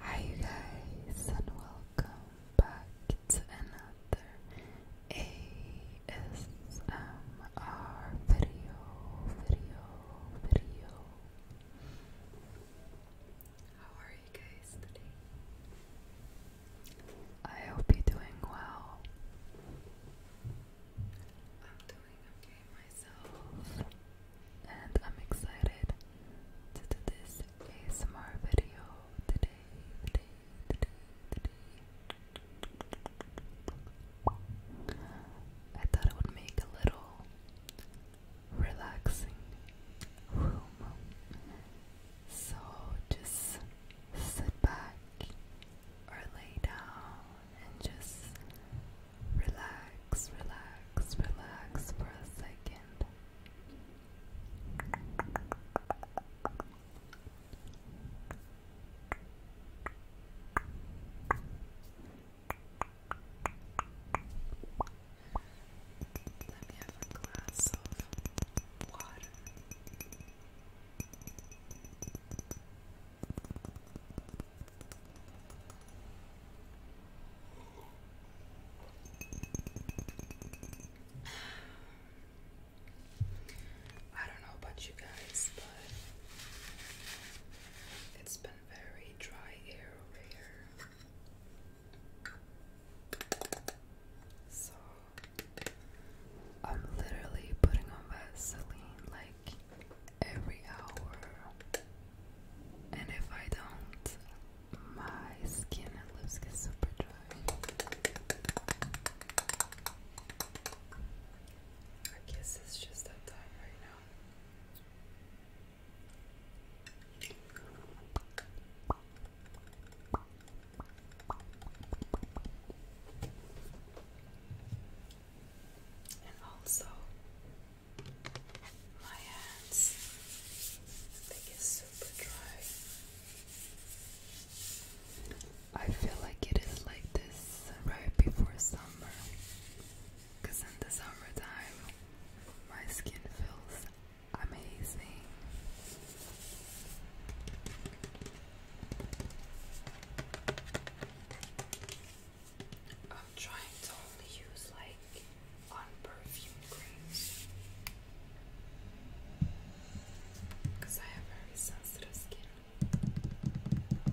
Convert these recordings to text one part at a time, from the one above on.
Hi, you guys, and welcome back to another ASMR video, video, video. How are you guys today? I hope you're doing well. I'm doing okay myself, and I'm excited to do this ASMR video today, today, today, today. I thought it would make a little relaxing so just sit back or lay down and just relax, relax, relax for a second. Let me have a glass of I don't know about you guys, but it's been very dry air over here. So I'm literally putting on Vaseline like every hour, and if I don't, my skin and lips get super dry. I guess it's just that time right now. And also my hands they get super dry. I feel like it is like this right before summer. Cause in the summertime my skin feels amazing. I'm trying to only use like on perfume creams because I have very sensitive skin. Oh,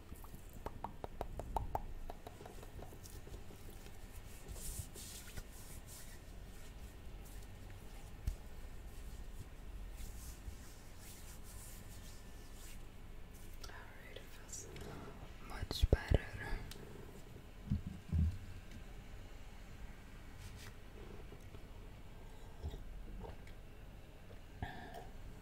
Alright, it much better.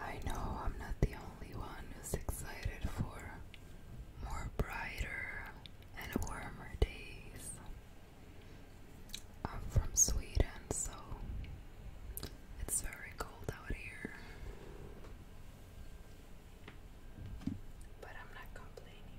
I know I'm not the only one who's excited for more brighter and warmer days. I'm from Sweden, so it's very cold out here. But I'm not complaining.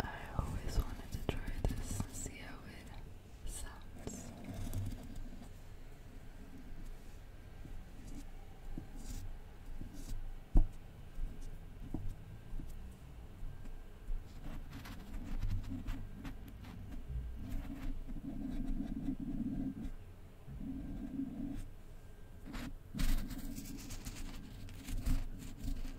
I always wanted to try this and see how it sounds.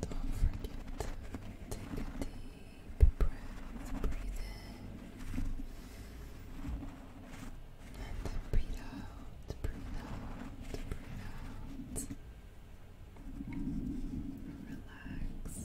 Don't forget to take a deep breath, breathe in, and breathe out, breathe out, breathe out. Relax.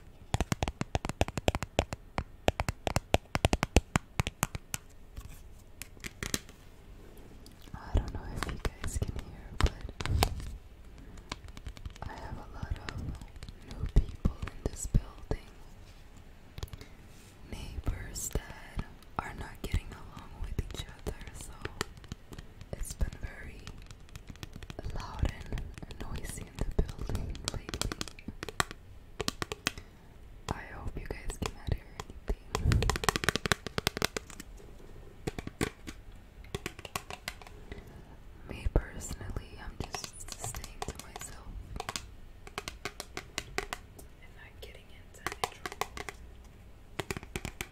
I don't know if you guys can hear, but I have a lot of new people in this building. Neighbors that are not getting along with each other, so it's been very loud and noisy in the building lately. I hope you guys cannot hear anything. Me personally, I'm just staying to myself and not getting into any trouble.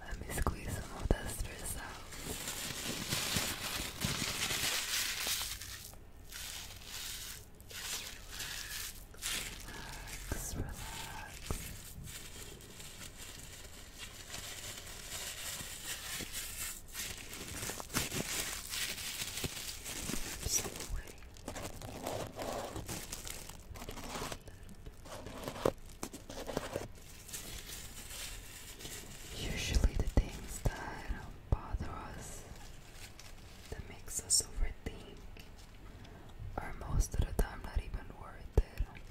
Let me squeeze some more dusters out. Just relax, relax, relax. Usually the things that bother us, that makes us overthink, are most of the time not even worth it. Make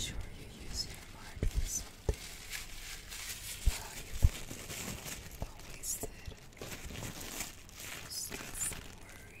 sure you use your heart for something valuable. Don't waste it. Stress and worry.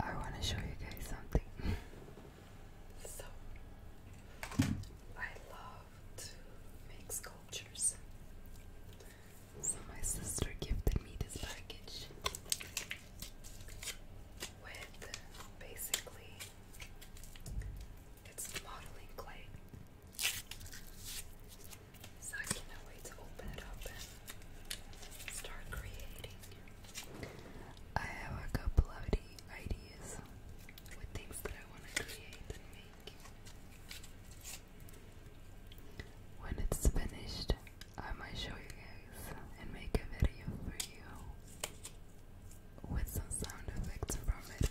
I want to show you guys something. so, I love to make sculptures. So, my sister gifted me this package with basically it's modeling clay. So I cannot wait to open it up and start creating. I have a couple of ideas with things that I want to create and make. When it's finished, I might show you guys and make a video for you with some sound effects from it.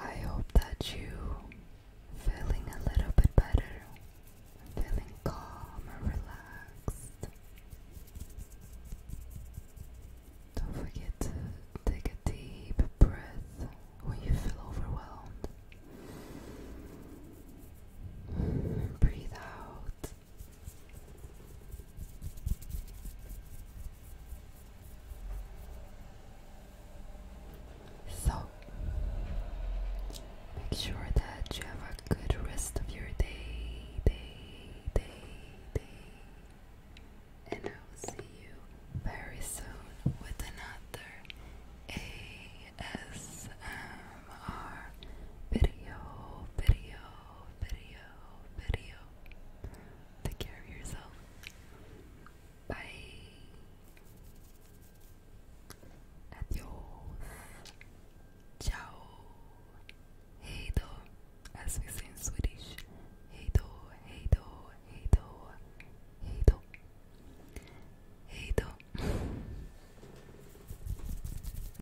I hope that you feeling a little bit better, feeling calm and relaxed. Don't forget to take a deep breath when you feel overwhelmed. Breathe out so, make sure that you have a good rest of your day, day, day, day. And I will see you very soon with another ASMR video, video, video, video. Take care of yourself. Bye. Adios. Ciao. Hey do. As we say in Swedish. Hey do, hey do, hey do, hey do.